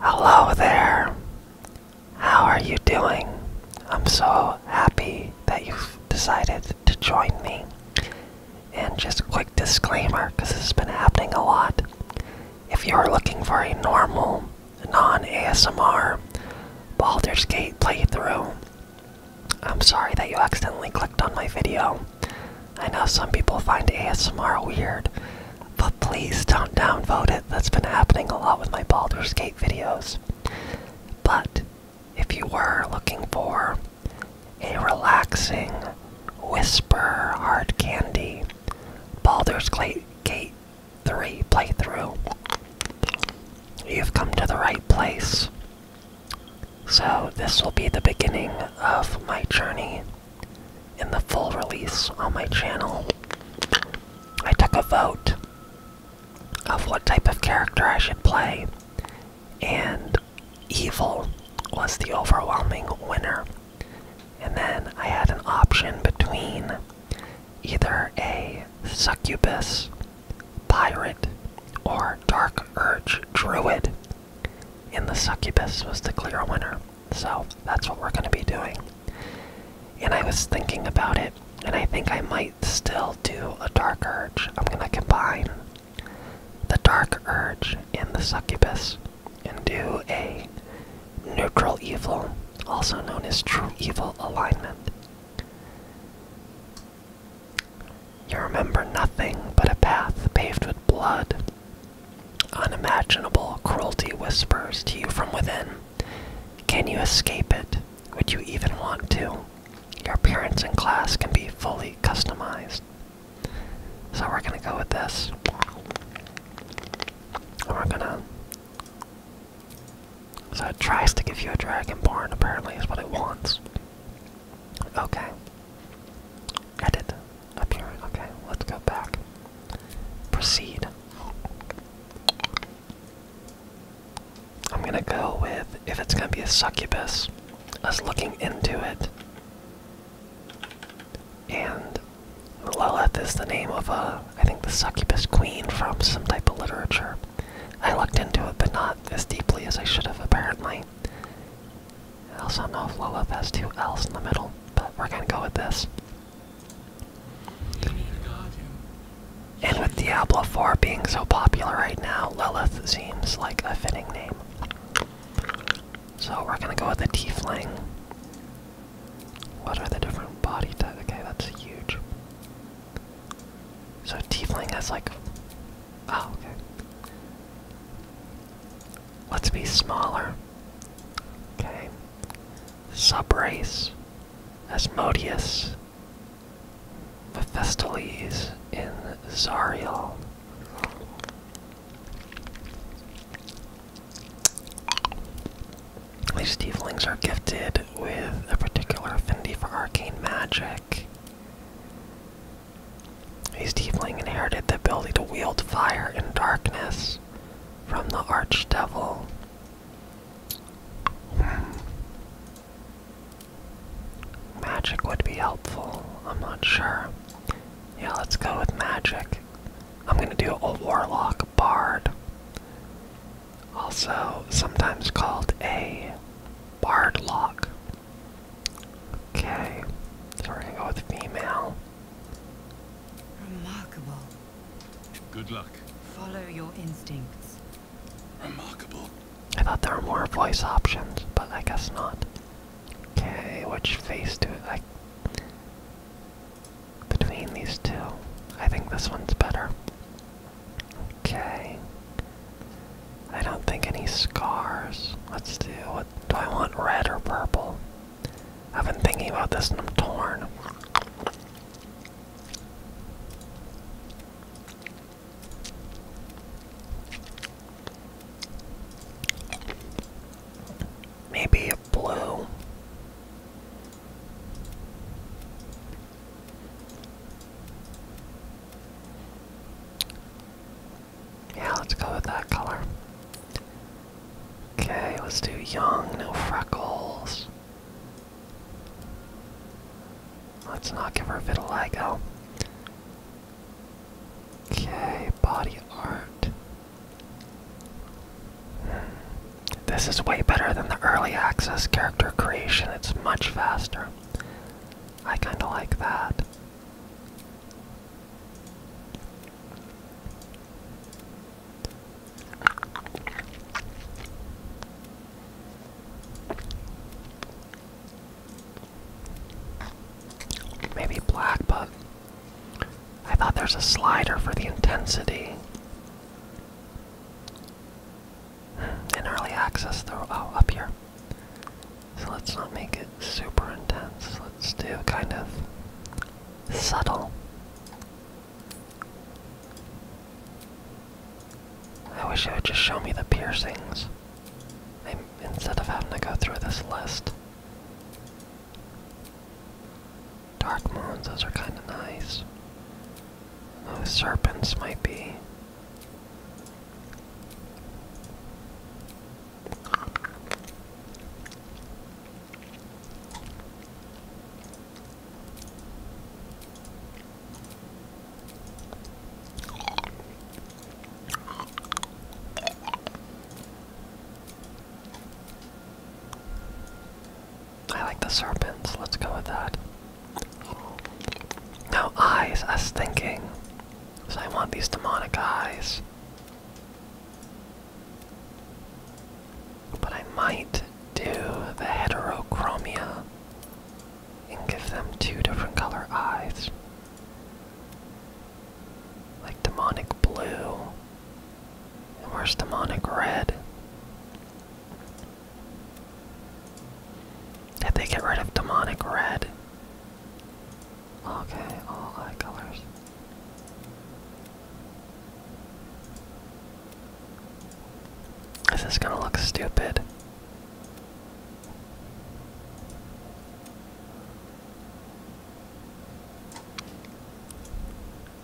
Hello there. How are you doing? I'm so happy that you've decided to join me. And just a quick disclaimer because this has been happening a lot. If you're looking for a normal, non ASMR Baldur's Gate playthrough, I'm sorry that you accidentally clicked on my video. I know some people find ASMR weird, but please don't downvote it. That's been happening a lot with my Baldur's Gate videos. But if you were looking for a relaxing whisper hard candy Baldur's Gate 3 playthrough, you've come to the right place. So, this will be the beginning of my journey in the full release on my channel, I took a vote of what type of character I should play, and evil was the overwhelming winner. And then I had an option between either a succubus, pirate, or dark urge druid, and the succubus was the clear winner. So that's what we're going to be doing. And I was thinking about it, and I think I might still do a Dark Urge. I'm going to combine the Dark Urge and the Succubus and do a Neutral Evil, also known as True Evil Alignment. You remember nothing but a path paved with blood, Unimaginable cruelty whispers to you from within. Can you escape it? Would you even want to? Your appearance in class can be fully customized. So we're gonna go with this. we're gonna. So it tries to give you a dragonborn, apparently, is what it wants. Okay edit up Okay, let's go back. Proceed. I'm gonna go with if it's gonna be a succubus, us looking into it. And Lilith is the name of a, I think, the succubus queen from some type of literature. I looked into it, but not as deeply as I should have, apparently. I also don't know if Lilith has two L's in the middle, but we're gonna go with this. And with Diablo 4 being so popular right now, Lilith seems like a fitting name. So we're gonna go with the Tiefling. What are the different body types? Okay, that's huge. So Tiefling has like. Oh, okay. Let's be smaller. Okay. Subrace. Asmodeus. Mephistales in Zariel. These tieflings are gifted with a particular affinity for arcane magic. These tiefling inherited the ability to wield fire and darkness from the archdevil. Hmm. Magic would be helpful. I'm not sure. Yeah, let's go with magic. I'm gonna do a warlock bard. Also, sometimes called a bard lock. Okay, so we're gonna go with female. Remarkable. Good luck. Follow your instincts. Remarkable. I thought there were more voice options, but I guess not. Okay, which face do I... Between these two, I think this one's better. Okay. I don't think any scars. Let's do, what, do I want red or purple? I've been thinking about this and I'm torn. Maybe a blue. Yeah, let's go with that color. Okay, let's do young, no freckles. Let's not give her vitiligo. Okay, body art. Hmm. This is way better than the early access character creation. It's much faster. I kinda like that. Maybe black, but I thought there's a slider for the intensity. Hmm, In early access, though, oh, up here. So let's not make it super intense. Let's do kind of subtle. I wish it would just show me the piercings. instead of having to go through this list. Dark moons, those are kind of nice. Those serpents might be. I like the serpents, let's go with that. Now, eyes, I was thinking. So I want these demonic eyes. But I might do the heterochromia and give them two different color eyes. Like demonic blue. And where's demonic red? Did they get rid of demonic red? Okay, all eye colors. This Is gonna look stupid?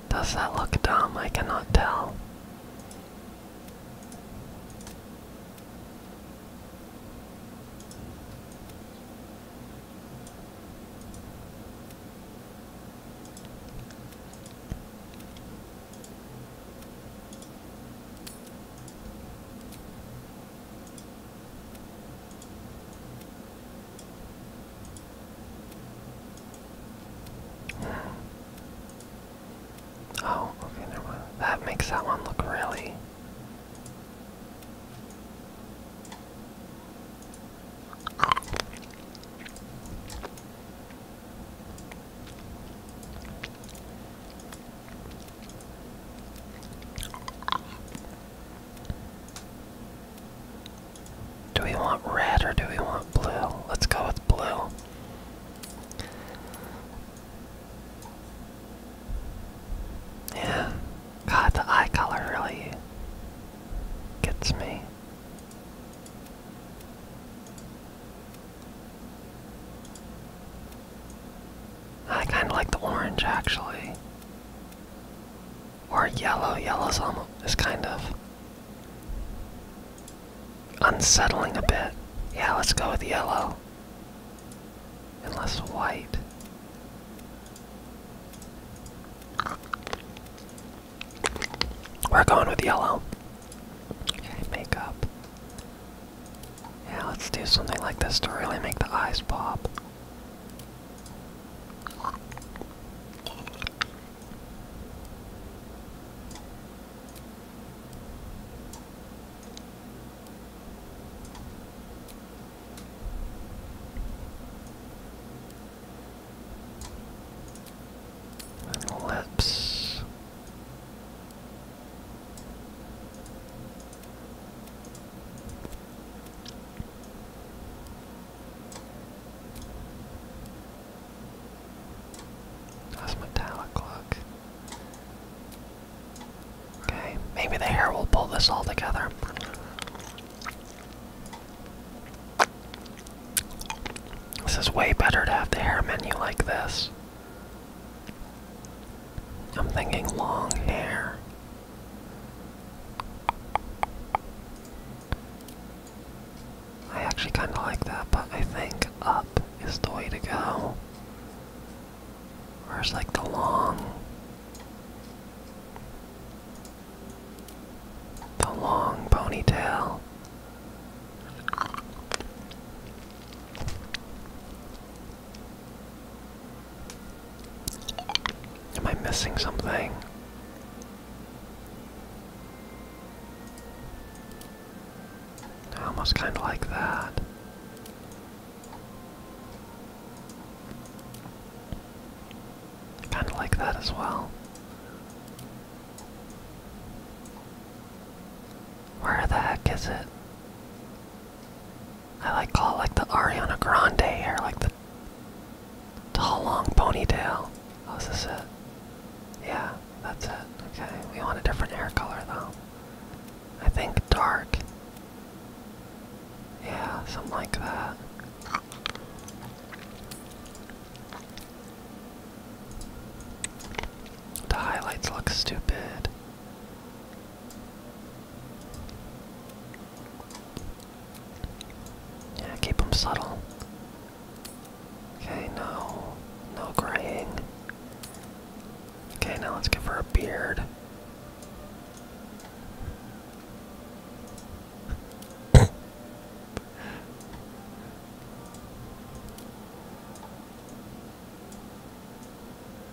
Does that look dumb? I cannot tell. Oh, okay, That makes that one look really do we want red or do we want blue? Let's go with blue. Yeah, God, the eye color really gets me. I kind of like the orange actually. Or yellow. Yellow's almost is kind of unsettling a bit. Yeah, let's go with yellow. Unless white. We're going with yellow. makeup. Yeah, let's do something like this to really make the eyes pop lips. That's metallic look. Okay, maybe the hair will pull this all together. This is way better to have the hair menu like this. I'm thinking long hair. I actually kind of like that, but I think up is the way to go. it's like the long the long ponytail. Am I missing something? I almost kind of like that. Kind of like that as well. Where the heck is it? I like call it like the Ariana Grande hair, like the tall long ponytail. Oh, is this Yeah, that's it. Okay, we want a different hair color though. I think dark. Yeah, something like that. The highlights look stupid. Yeah, keep them subtle. Okay, no. No graying. Okay, now let's give her a beard.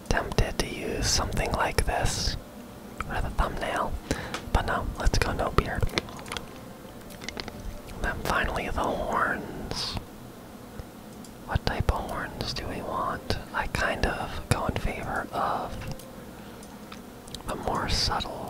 Tempted to use something like this for the thumbnail, but no, let's go no beard. then finally the horns. What type of horns do we want? I kind of go in favor of the more subtle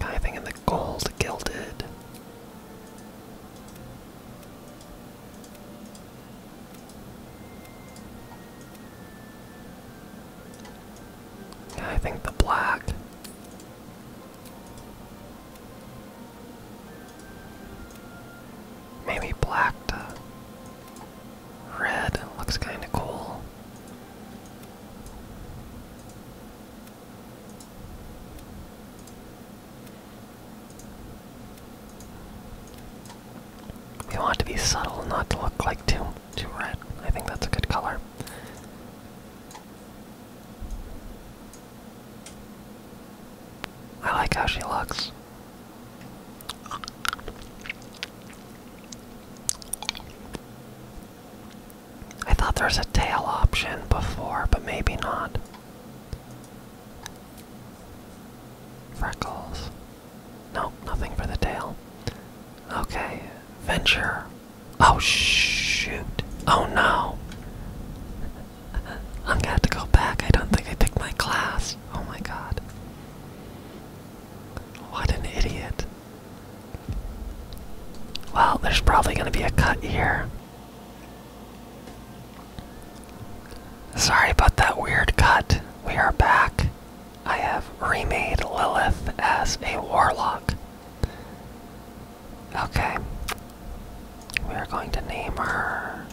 kind in the gold gilded. Yeah, I think the black. Maybe black red looks kind of cool. We want to be subtle, not to look like two. Too red. I think that's a good color. I like how she looks. I thought there was a tail option before, but maybe not. Freckles. Nope, nothing for the tail. Okay, venture. Oh shoot. Oh no. I'm gonna have to go back. I don't think I took my class. Oh my god. What an idiot. Well, there's probably gonna be a cut here. Sorry about that weird cut. We are back. I have remade Lilith as a warlock. Okay. We are going to name her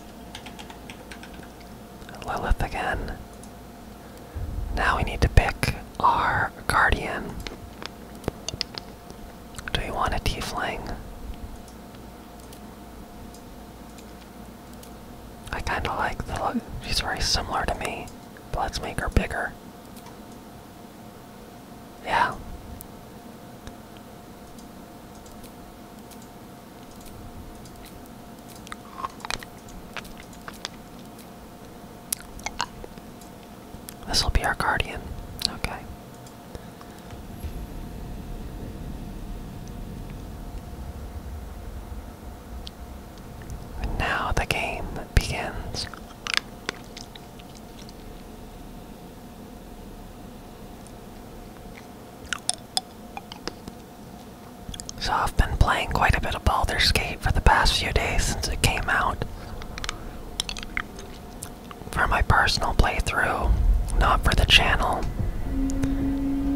Lilith again. Now we need to pick our guardian. Do we want a T fling? I kinda like the look. She's very similar to me, but let's make her bigger. Yeah. This will be our guardian. Okay. Now the game begins. So I've been playing quite a bit of Baldur's Gate for the past few days since it came out. For my personal playthrough, not for the channel.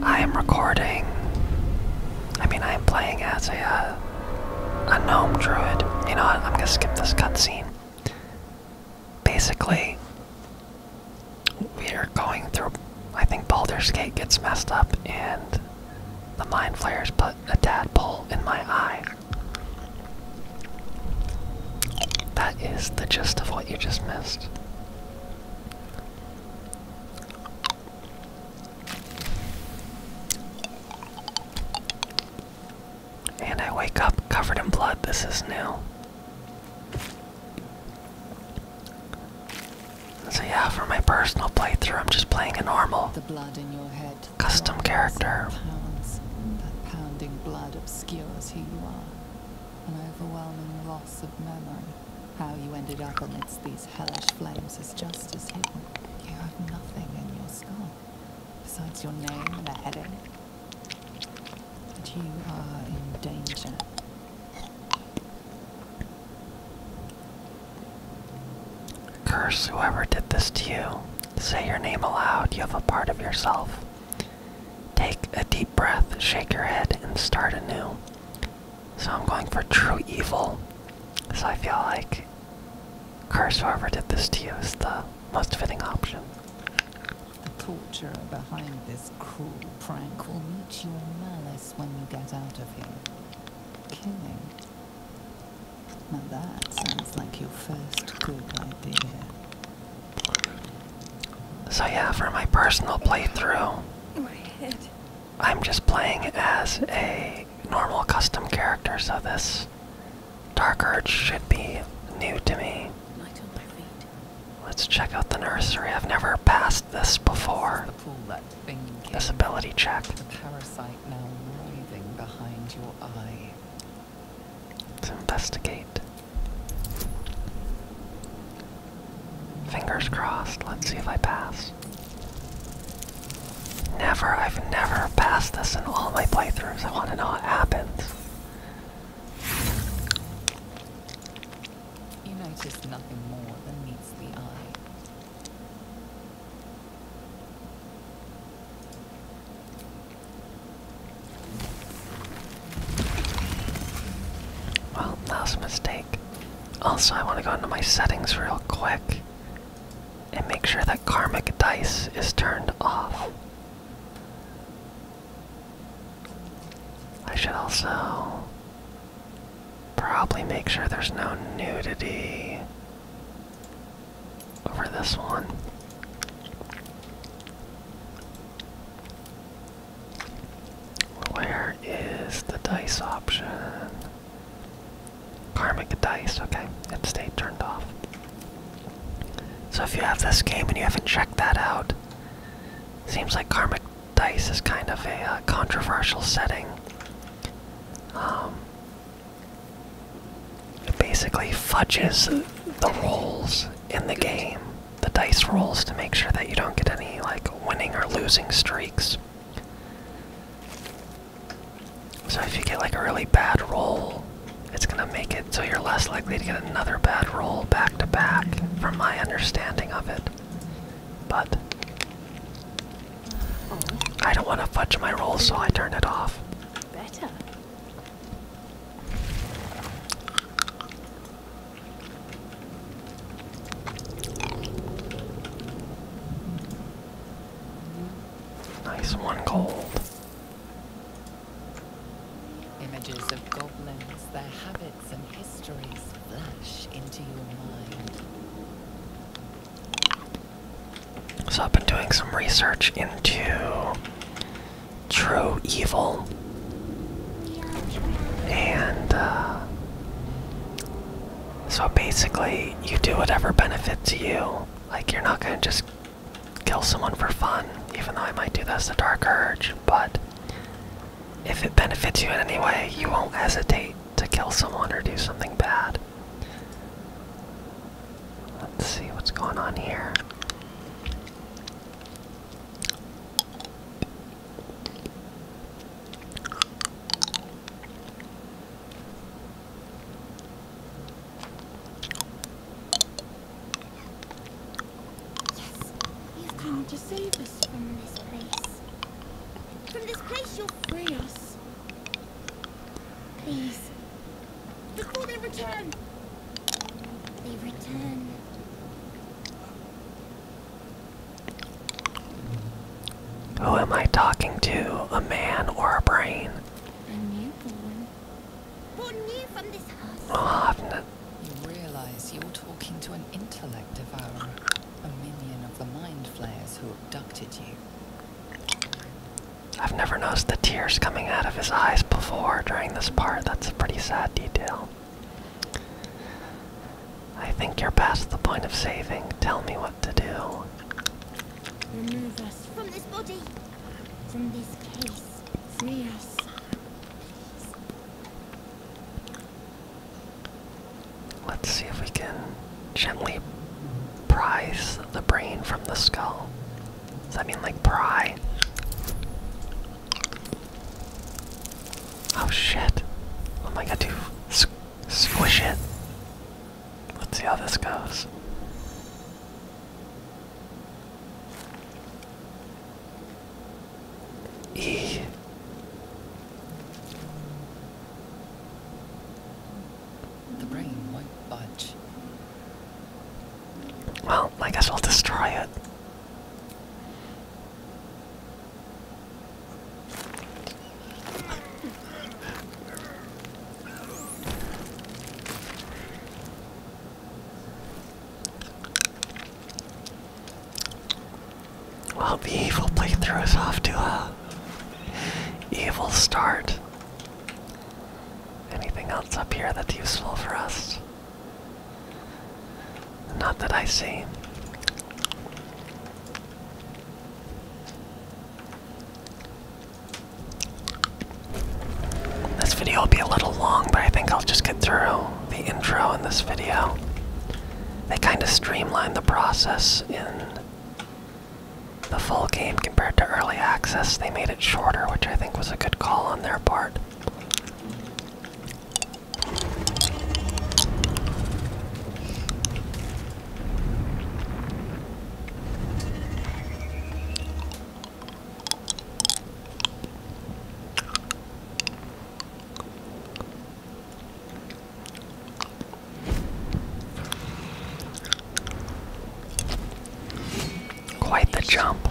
I am recording. I mean, I am playing as a uh, a gnome druid. You know what? I'm gonna skip this cutscene. Basically, we are going through. I think Baldur's Gate gets messed up, and the mind flayers put a tadpole in my eye. That is the gist of what you just missed. And I wake up covered in blood. This is new. So yeah, for my personal playthrough, I'm just playing a normal custom character. That pounding blood obscures who you are. An overwhelming loss of memory. How you ended up amidst these these hellish flames is just as hidden. You have nothing in your skull besides your name and a heading. And you are in danger. Curse whoever did this to you. Say your name aloud, you have a part of yourself. Take a deep breath, shake your head, and start anew. So I'm going for true evil. So I feel like curse whoever did this to you is the most fitting option. The torture behind this cruel prank will meet your malice when you get out of here. Killing. Now that sounds like your first good idea. So yeah, for my personal playthrough, my head. I'm just playing as a normal custom character, so this Dark Urge should be new to me. Let's check out the nursery. I've never passed this before. This ability check. The now writhing behind your eye. investigate. Fingers crossed. Let's see if I pass. Never, I've never passed this in all my playthroughs. I want to know what happens. You notice nothing more than meets the eye. Well, that's a mistake. Also, I want to go into my settings real quick and make sure that karmic dice is turned off. I should also probably make sure there's no nudity over this one. Where is the dice option? Karmic dice, okay, and stay turned off. So if you have this game and you haven't checked that out, seems like karmic dice is kind of a uh, controversial setting. Um, it basically fudges the rolls in the game, the dice rolls, to make sure that you don't get any like winning or losing streaks. So if you get like a really bad roll, it's gonna make it so you're less likely to get another bad roll back to back, from my understanding of it. But I don't want to fudge my roll, so I turn it off. Better. Nice one gold. Images of goblins, their habits and histories flash into your mind. So I've been doing some research into true evil. And uh, so basically, you do whatever benefits you like, you're not gonna just kill someone for fun, even though I might do that's a Dark Urge, but if it benefits you in any way, you won't hesitate to kill someone or do something bad. Let's see what's going on here. Yes, you've to save us from this place. From this place you'll free us. Please, before they return. They return. Who am I talking to? A man or a brain? A newborn. Born new from this house. Oh, you realize you're talking to an intellect devourer, a minion of the mind flayers who abducted you. I've never noticed the tears coming out of his eyes before during this part. That's a pretty sad detail. I think you're past the point of saving. Tell me what to do. Remove us from this body, from this place. Free us. Let's see if we can gently pry the brain from the skull. Does that mean like pry? Oh shit. Oh my god, dude. S squish it. Let's see how this goes. E. The brain won't budge. Well, I guess I'll destroy it. Well, the evil playthrough is off to a evil start. Anything else up here that's useful for us? Not that I see. This video will be a little long, but I think I'll just get through the intro in this video. They kind of streamlined the process in the full game compared to early access. They made it shorter, which I think was a good call on their part. Quite the jump.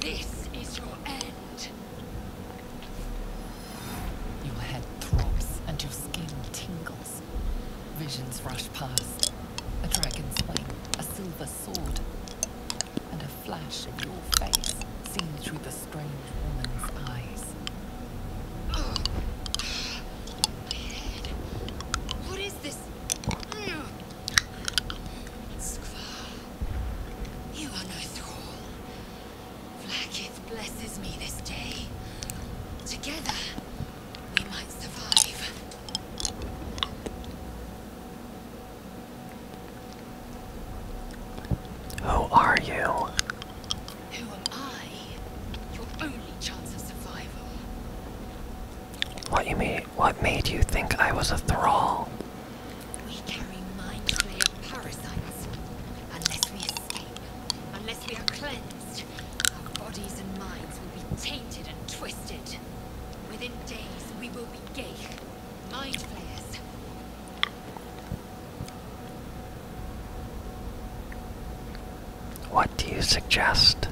This is your end. Your head throbs and your skin tingles. Visions rush past. A dragon's wing, a silver sword, and a flash of your face seen through the strange woman's eyes. Oh. What is this? Mm. you are no thrall. Blackith blesses me this day. Together, we might survive. Who are you? Who am I? Your only chance of survival. What you made what made you think I was a thrall? We carry mind parasites. Unless we escape, unless we are cleansed, our bodies and minds will be tainted and twisted. Within days, we will be Geich, mind flayers. What do you suggest?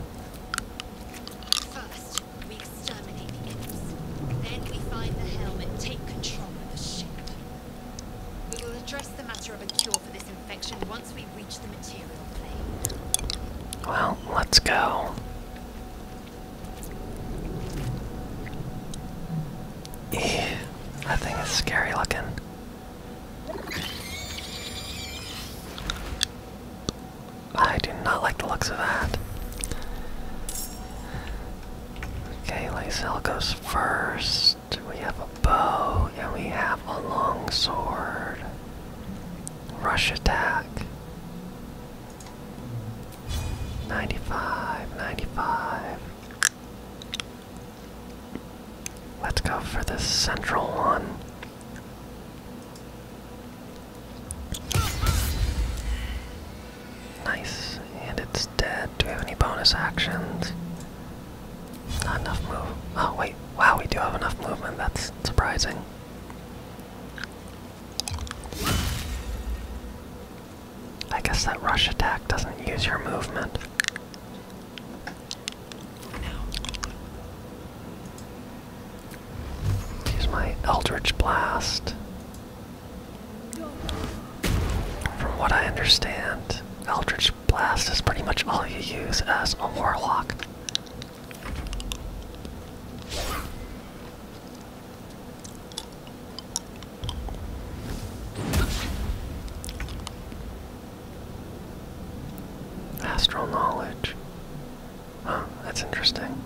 First, we exterminate the imps. Then we find the helm and take control of the ship. We will address the matter of a cure for this infection once we reach the material plane. Well, let's go. Ew, that thing is scary looking. I do not like the looks of that. Okay, Lysel goes first. We have a bow and we have a long sword. Rush attack. 95, 95. Let's go for this central one. Nice, and it's dead. Do we have any bonus actions? Not enough move. Oh, wait. Wow, we do have enough movement. That's surprising. I guess that rush attack doesn't use your movement. Use my Eldritch Blast. From what I understand, Eldritch Blast is pretty much all you use as a Warlock. Astral knowledge. Huh, that's interesting.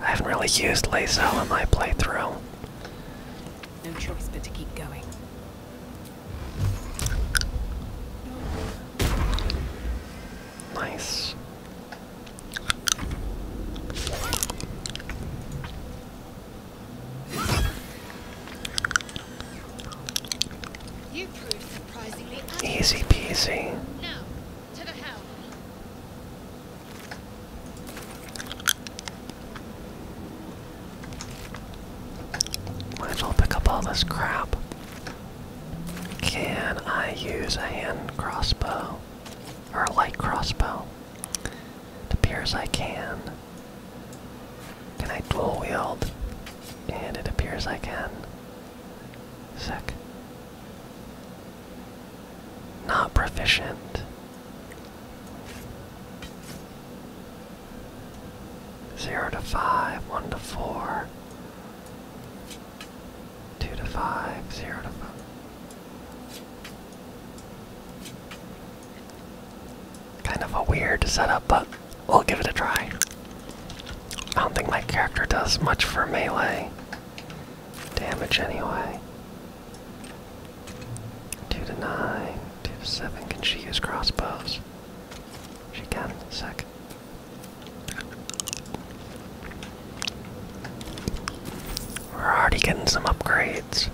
I haven't really used Lazo in my playthrough. No choice but to keep going. Nice. You proved surprisingly easy peasy. Now, to the helm. pick up all this crap. Can I use a hand crossbow or a light crossbow? It appears I can. Can I dual wield? And it appears I can. Sick. Not proficient. Zero to five, one to four, Two to five, zero to five. Kind of a weird setup, but we'll give it a try. I don't think my character does much for melee damage anyway. Two to nine, two to seven. Can she use crossbows? She can. Second. We're already getting some upgrades.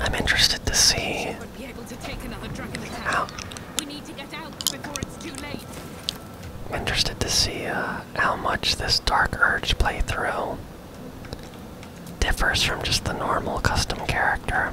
I'm interested to see how. interested to see uh, how much this Dark Urge playthrough differs from just the normal custom character.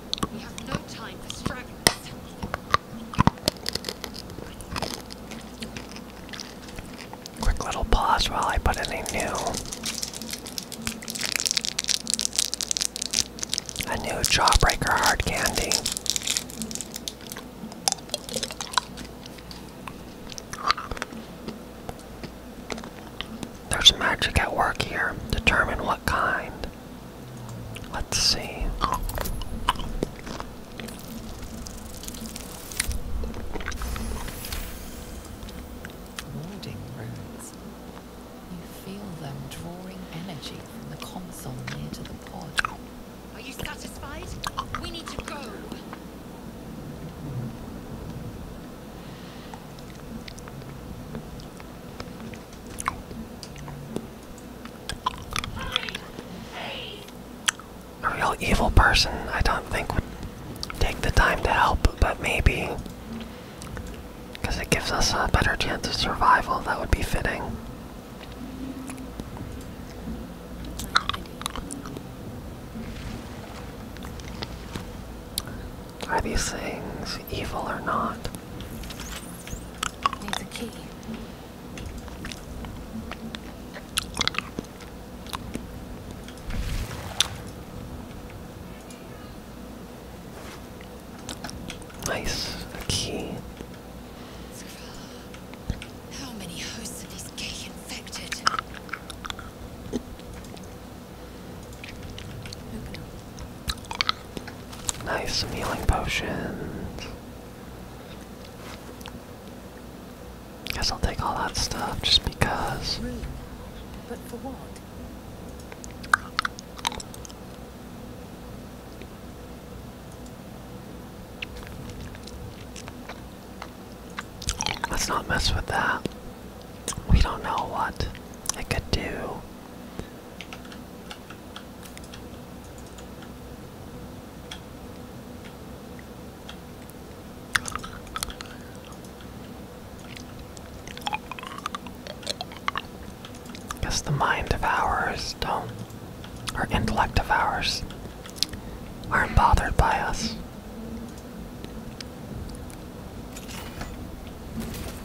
Quick little pause while I put in a new, a new Jawbreaker hard candy. There's magic at work here. Determine what kind. Let's see. Warding runes. You feel them drawing energy from the console near to the pod. Are you satisfied? We need to go. A real evil person, I don't think, would take the time to help, but maybe. Because it gives us a better chance of survival, that would be fitting. Are these things evil or not? Needs a key. Nice, key. How many hosts of this gay infected? Nice, healing potions. Guess I'll take all that stuff just because. But for what? Let's not mess with that. We don't know what it could do. Guess the mind of ours don't, our intellect of ours, aren't bothered by us.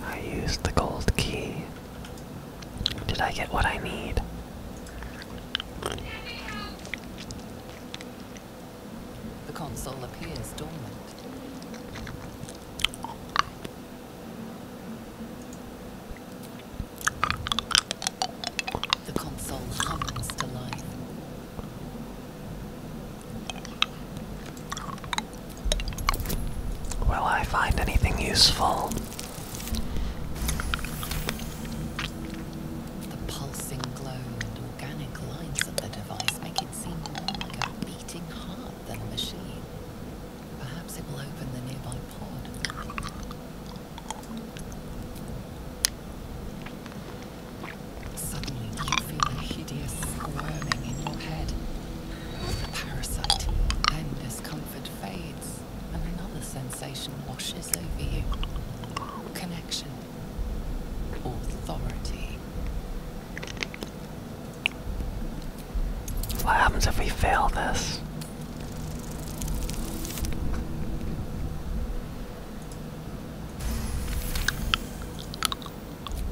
I used the gold key. Did I get what I need? The console appears dormant. The console hums to life. Will I find anything useful? The pulsing glow and organic lines of the device make it seem more like a beating heart than a machine. Perhaps it will open the nearby pod. Suddenly you feel a hideous squirming in your head. A parasite, then discomfort fades and another sensation washes over you connection, authority. What happens if we fail this?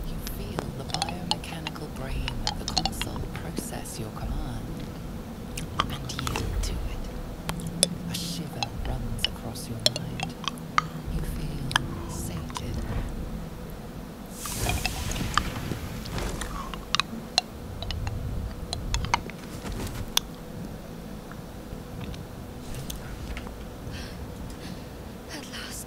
You feel the biomechanical brain of the console process. Alessio, come on. And yield to it. A shiver runs across your mind. You feel sated. At last.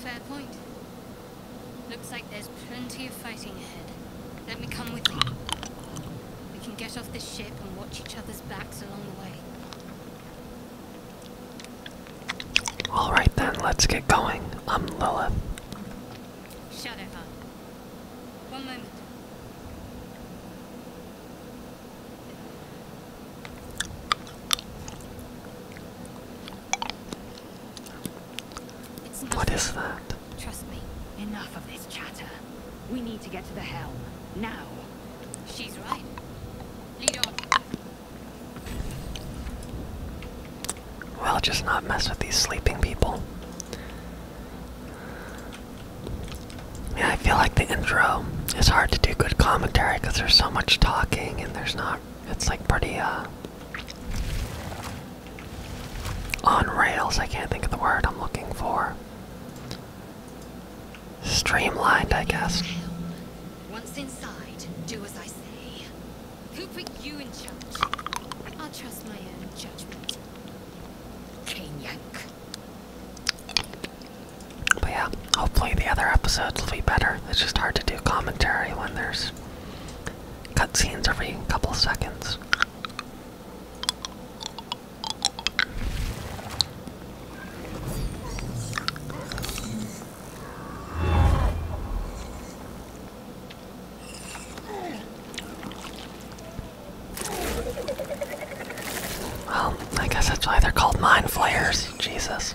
Fair point. Looks like there's plenty of fighting ahead. Let me come with you. We can get off this ship and watch each other's backs along the way. Alright then, let's get going. I'm Lilith. Shut it up. One moment. What is that? Trust me. Enough of this chatter. We need to get to the helm. Now. She's right. Lead on. Well, just not mess with these sleeping people. Yeah, I feel like the intro is hard to do good commentary because there's so much talking and there's not it's like pretty, uh. On rails, I can't think of the word I'm looking for. Streamlined, I guess. Once inside, do as I say. Who put you in charge? I'll trust my own judgment. Canyank. But yeah, hopefully the other episodes will be better. It's just hard to do commentary when there's cutscenes every couple seconds. Well, I guess that's why they're called mind flayers. Jesus.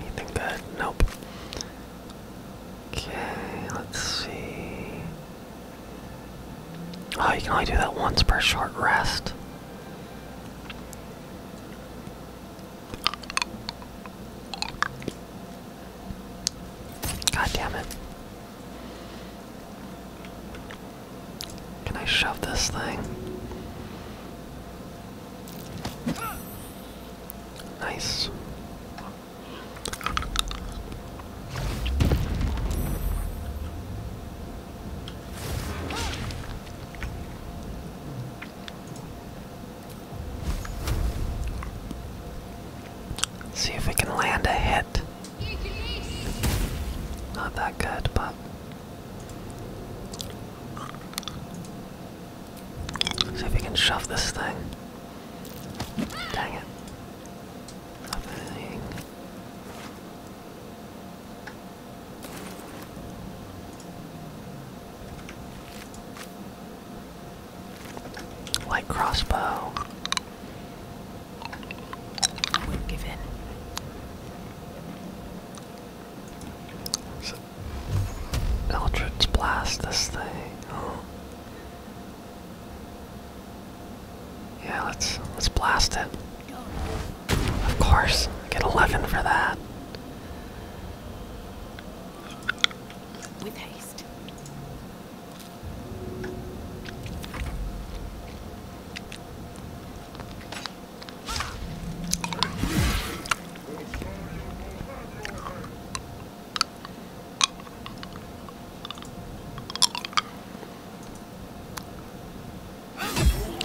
You think Nope. Okay, let's see. Oh, you can only do that once per short rest. God damn it. Can I shove this thing? Nice. See if we can land a hit. Not that good, but See if we can shove this thing. Dang it. Nothing. crossbow. We'll give in. So, Eldritch blast this thing. Yeah, let's let's blast it. Of course, get 11 for that.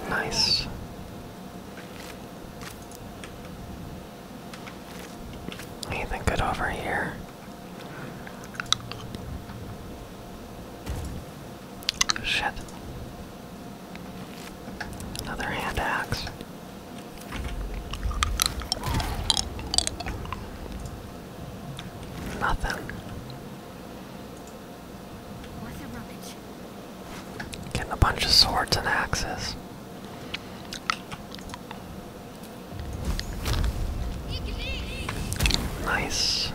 Nice. Anything good over here? Shit. Another hand axe. Nothing. Getting a bunch of swords and axes. Nice.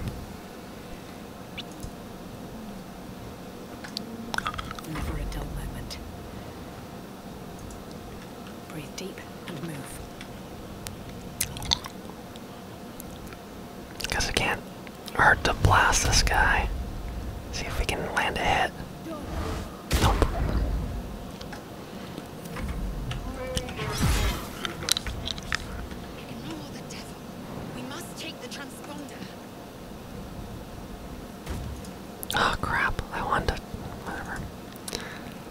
Never a dull moment. Breathe deep Because it can to blast this guy. See if we can land a hit. Nope. We must take the transponder. Oh crap, I wanted to, whatever.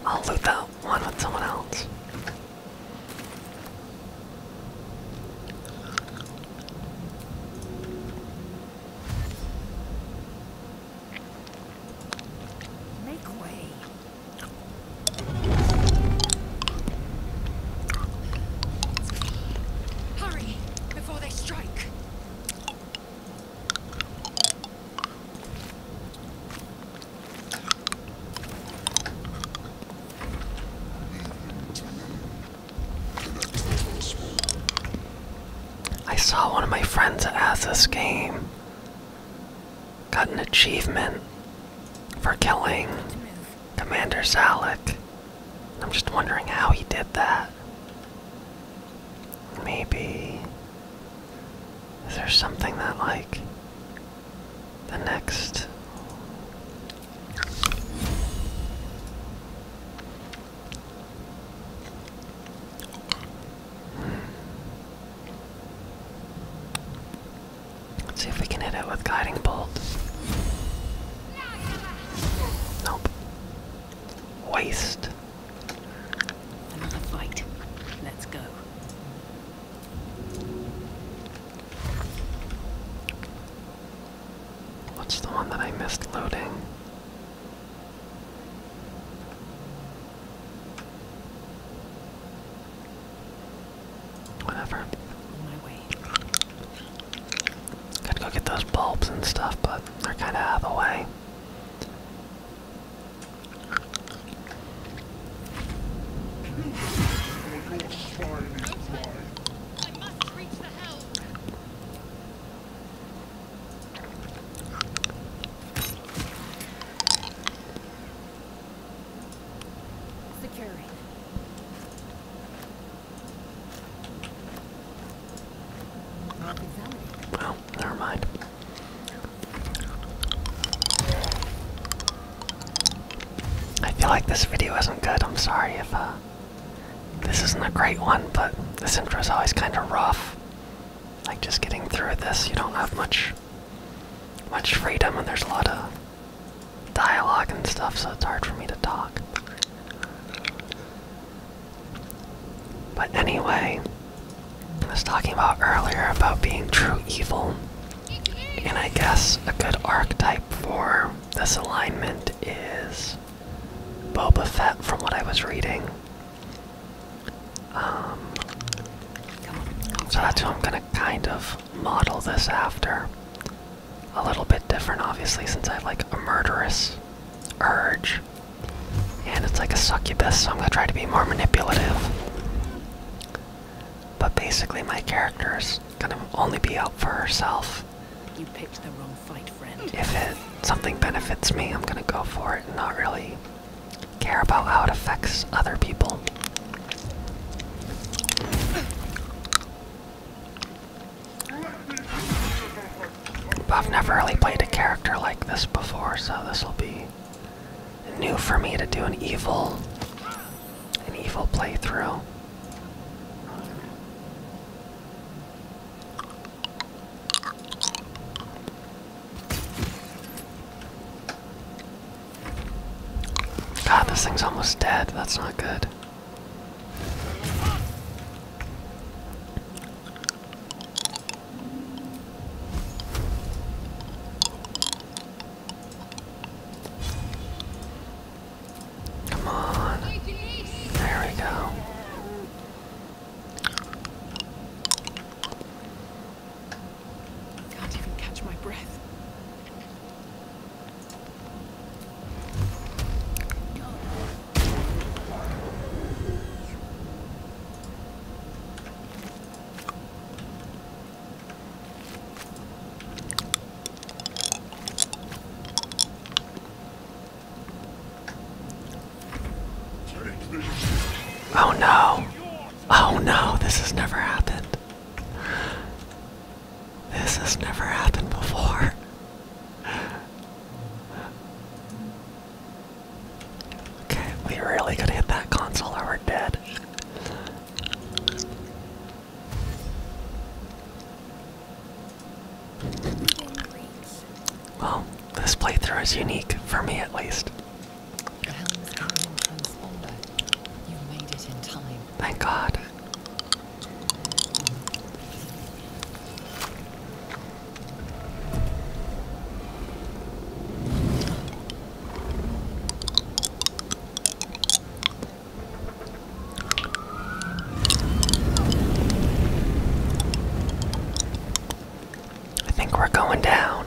I'll loot that one with someone else. Make way. Hurry before they strike. I saw one of my friends at has game. Got an achievement for killing Commander Zalek. I'm just wondering how he did that. Maybe. Is there something that, like, the next. Hmm. Let's see if we can hit it with Guiding Bolt. Nope. Waste. Another fight. Let's go. What's the one that I missed loading? Whatever. On my way. Gotta go get those bulbs and stuff, but they're kinda out of the way. I well, never mind. I feel like this video isn't good. I'm sorry if uh, this isn't a great one, but this intro is always kind of rough. Like just getting through this, you don't have much much freedom, and there's a lot of dialogue and stuff, so it's hard for me to talk. But anyway, I was talking about earlier about being true evil, and I guess a good archetype for this alignment is Boba Fett, from what I was reading. Um, so that's who I'm gonna kind of model this after a little bit different, obviously, since I have like a murderous urge. And it's like a succubus, so I'm gonna try to be more manipulative. But basically, my character is gonna only be out for herself. If it something benefits me, I'm gonna go for it and not really care about how it affects other people. I've never really played a character like this before, so this will be new for me to do an evil an evil playthrough. God, this thing's almost dead. That's not good. Come on. There we go. Can't even catch my breath. Oh no. Oh no, this has never happened. This has never happened before. Okay, we really could hit that console or we're dead. Well, this playthrough is unique, for me at least. Thank God. I think we're going down.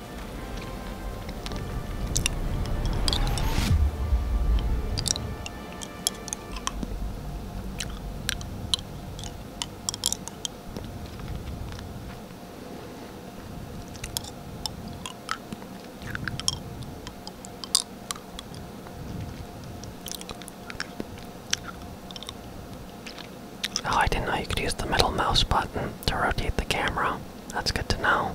Oh, I didn't know you could use the middle mouse button to rotate the camera. That's good to know.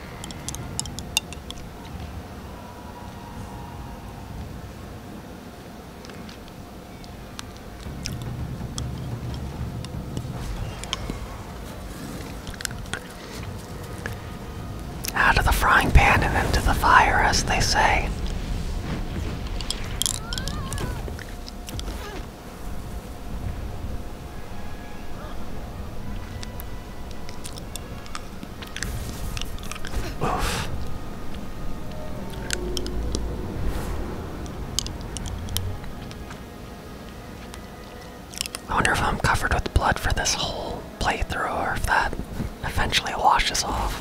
Out of the frying pan and into the fire, as they say. I wonder if I'm covered with blood for this whole playthrough or if that eventually washes off.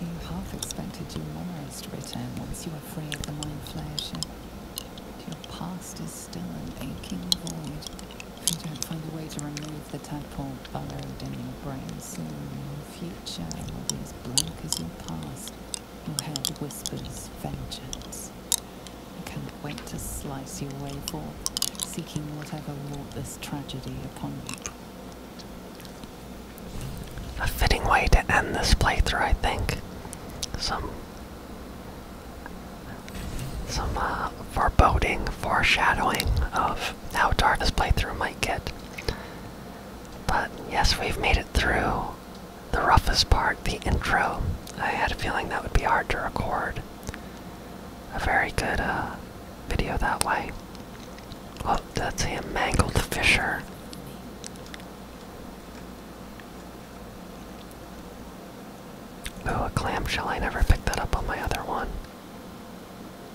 You half expected your memories to return once you were free of the mind flare your past is still an aching void. If you don't find a way to remove the tadpole burrowed in your brain soon, your future will be as blank as your past. Your head whispers vengeance. I cannot wait to slice you way forth, seeking whatever wrought this tragedy upon you a fitting way to end this playthrough, I think. Some some uh, foreboding, foreshadowing of how dark this playthrough might get. But yes, we've made it through the roughest part, the intro. I had a feeling that would be hard to record. A very good uh, video that way. Oh, that's a mangled fisher. Oh, a clamshell. I never picked that up on my other one.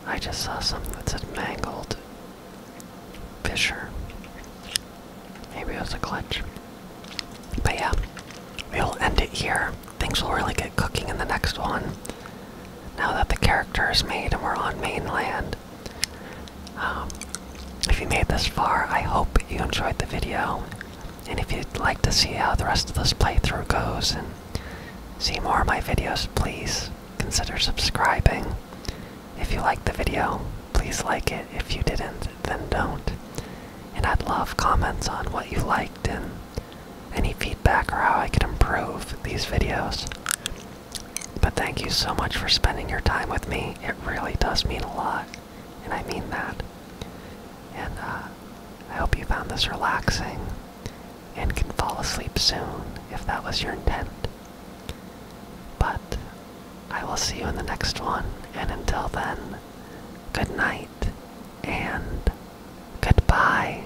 I just saw something that said mangled fisher. Maybe it was a glitch. But yeah, we'll end it here. Things will really get cooking in the next one. Now that the character is made and we're on mainland. Um, if you made this far, I hope you enjoyed the video. And if you'd like to see how the rest of this playthrough goes and see more of my videos, please consider subscribing. If you liked the video, please like it. If you didn't, then don't. And I'd love comments on what you liked and any feedback or how I could improve these videos. But thank you so much for spending your time with me. It really does mean a lot, and I mean that. And uh, I hope you found this relaxing and can fall asleep soon if that was your intent. But I will see you in the next one, and until then, good night and goodbye.